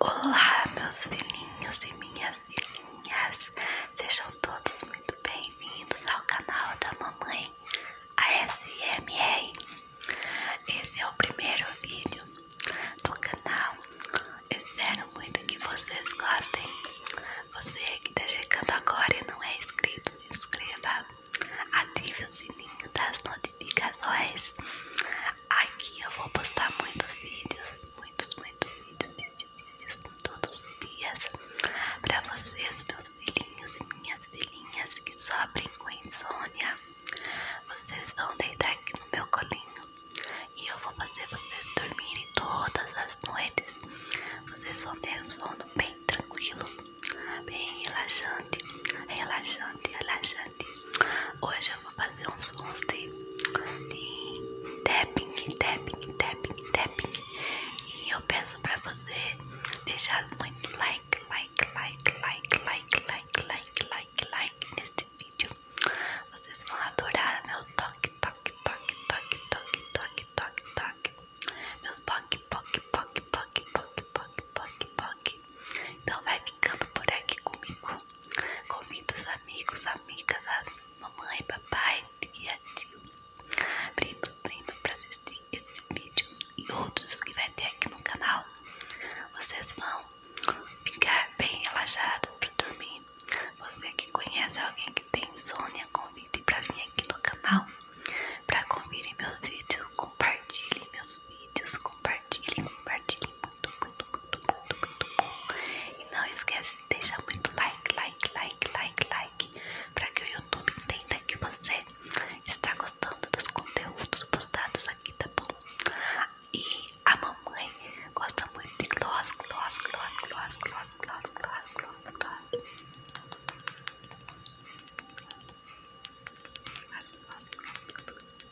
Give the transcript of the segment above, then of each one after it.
Olá, meus filhinhos e minhas filhinhas, sejam todos muito bem-vindos ao canal da Mamãe ASMR. Esse é o primeiro vídeo do canal, espero muito que vocês gostem. Você que está chegando agora e não é inscrito, se inscreva, ative o sininho das notificações. Aqui eu vou postar muitos vídeos, muitos, muitos vídeos, vídeos, vídeos todos os dias para vocês, meus filhinhos e minhas filhinhas que sofrem com insônia. Vocês vão deitar aqui no meu colinho e eu vou fazer vocês dormirem todas as noites. Vocês vão ter um sono bem tranquilo, bem relaxante, relaxante, relaxante. Hoje eu vou fazer uns sons de, tapping, tapping, tapping, tapping. E eu peço para você deixar muito like, like, like, like, like, like, like, like, like neste vídeo. Vocês vão adorar meu toque, toque, toque, toque, toque, toque, toque, toque. Meu toque, toque, toque, toque, toque, toque, toque, toque. Então vai ficando por aqui comigo. Convido os amigos, amigas, a mamãe, papai, tia, tio, primos, primas para assistir esse vídeo e outros que vai ter aqui no canal. Vocês vão ficar bem relaxados para dormir. Você que conhece alguém que tem insônia, convide para vir aqui no canal para conferir meus vídeos, compartilhe meus vídeos, compartilhe, compartilhe muito, muito, muito, muito, muito bom. E não esquece de deixar muito like, like, like, like, like, para que o YouTube entenda que você está gostando dos conteúdos postados aqui, tá bom? E a mamãe gosta muito de gloss, gloss, gloss, gloss, gloss, gloss, gloss, gloss, gloss. As, as, as, as.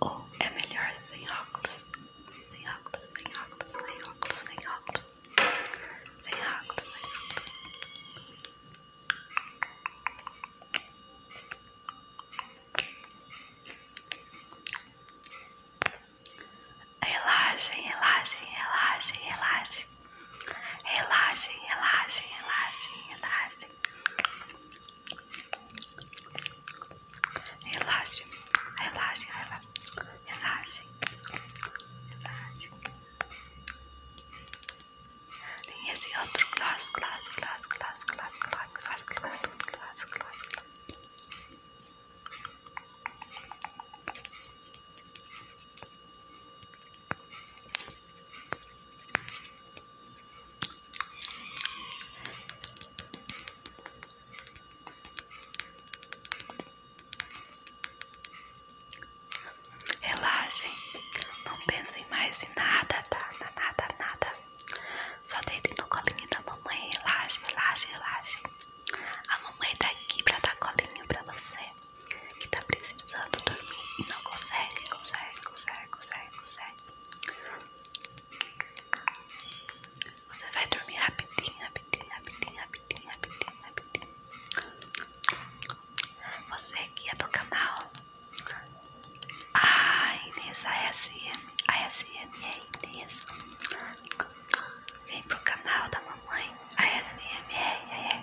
ou é melhor sem óculos? Sem óculos, sem óculos, sem óculos, sem óculos. Sem óculos, sem óculos. Relaxem, relaxem, relaxem, relaxem. Relaxem, relaxem, relaxem, relaxem. Relaxem, relaxem, relaxem, relaxem, relaxem. Tem esse outro glass, glass, glass, glass, glass, glass, glass, glass, glass, glass, glass. Relaxem, Relaxem, não pensem mais em nada, tá? Nada, nada. Só deitem no colinho da mamãe. Relaxe, relaxe, relaxe. A mamãe tá aqui pra dar colinho pra você que tá precisando dormir e não consegue, consegue, consegue, consegue, consegue. Você vai dormir rapidinho, rapidinho, rapidinho, rapidinho, rapidinho, rapidinho. Você aqui é do canal A Inês ASM, ASM é Inês. Vem pro canal da mamãe a ASMR. É, é.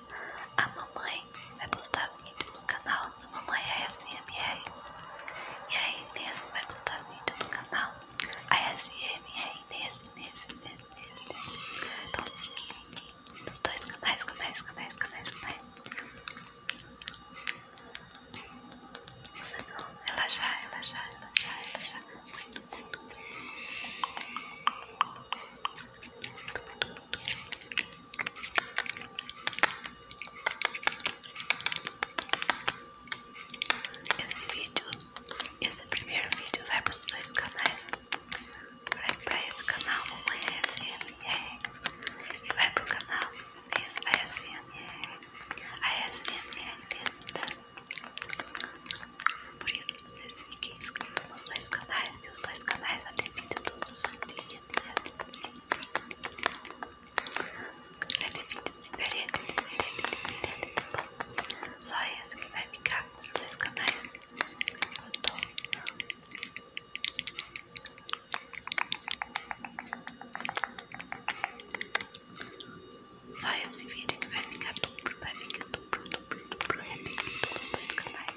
a mamãe vai postar vídeo no canal da Mamãe ASMR. E aí Inês vai postar vídeo no canal ASMR Inês, Inês, Inês, Inês. Então fiquem aqui nos dois canais, canais, canais, canais, canais. Vocês vão relaxar, relaxar, relaxar, Muito, muito, muito. muito, muito. Esse vídeo, esse primeiro vídeo vai para os dois canais. Vai para esse canal Mamãe é ASMR e vai para o canal esse ASMR, ASMR Testa. Tá? Por isso, vocês fiquem inscritos nos dois canais, que os dois canais até todos os dias. É Só esse que vai ficar com os dois canais. Só esse vídeo que vai ficar duplo, vai ficar duplo, duplo, duplo, duplo nos dois canais.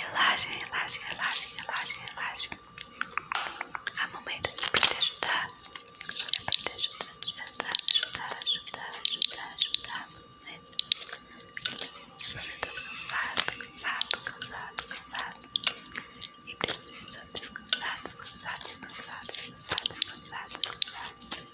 Relaxem, relaxem, relaxem, relaxem, relaxem. A mamãe tá pra te ajudar. Pra te ajudar, ajudar, ajudar, ajudar, ajudar, você. tá cansado, cansado, cansado, cansado. E precisa descansar, descansar, descansar, descansar, descansar, descansar.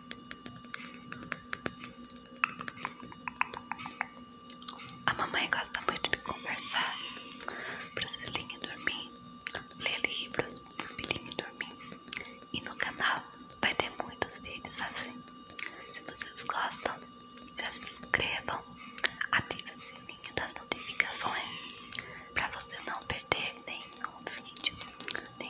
A mamãe gosta muito de conversar para o filhinho dormir, ler livros para o filhinho dormir. E no canal vai ter muitos vídeos assim. Se vocês gostam, já se inscrevam, ative o sininho das notificações para você não perder nenhum vídeo, nenhum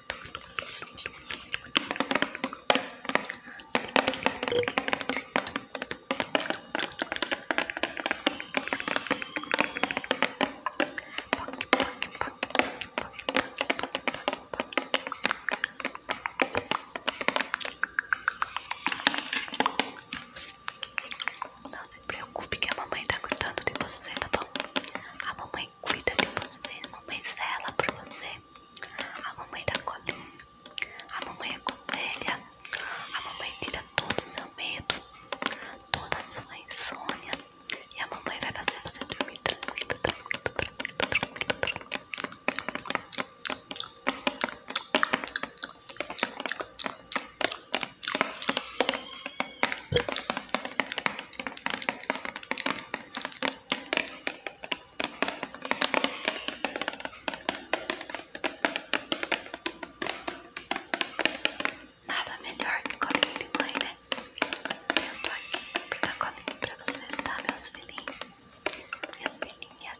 Não se preocupe que a mamãe está cuidando de você, tá bom? A mamãe cuida de você, a mamãe zela por você, a mamãe dá Colin, a mamãe aconselha, a mamãe tira todo o seu medo, toda a sua insônia e a mamãe vai fazer você dormir tranquilo, tranquilo, tranquilo, tranquilo, tranquilo. Nada melhor que colinho de mãe, né? Eu tô aqui pra colinho pra vocês, tá, meus filhinhos? Minhas filhinhas.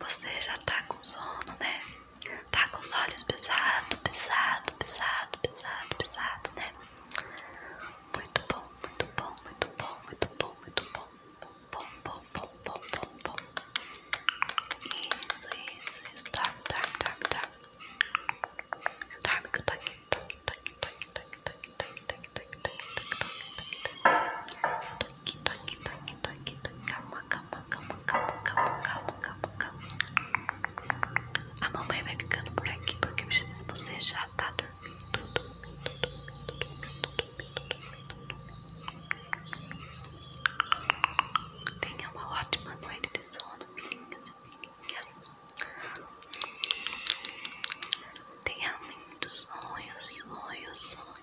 Você já tá com sono, né? Tá com os olhos pesados, pesado, pesado, pesado, pesado, né? Muito bom, muito bom, muito bom, muito bom, muito bom. Bom, bom, bom, bom, bom, bom. Isso, isso, isso. Dorme, dorme, dorme, dorme. Dorme que eu tô aqui. Tô aqui, tô aqui, tô aqui, tô aqui, tô aqui, tô aqui, tô aqui, tô aqui, tô aqui, tô aqui, tô aqui, tô aqui. Eu tô toque, toque, toque, toque, toque. Calma, calma, calma, calma, calma, calma, calma, calma. A mamãe vai ficando por aqui porque você já tá dormindo, dormindo, dormindo, dormindo, dormindo, dormindo, dormindo. Tenha uma ótima noite de sono, filhinhos e filhinhas. Tenha lindos sonhos, sonhos, sonhos.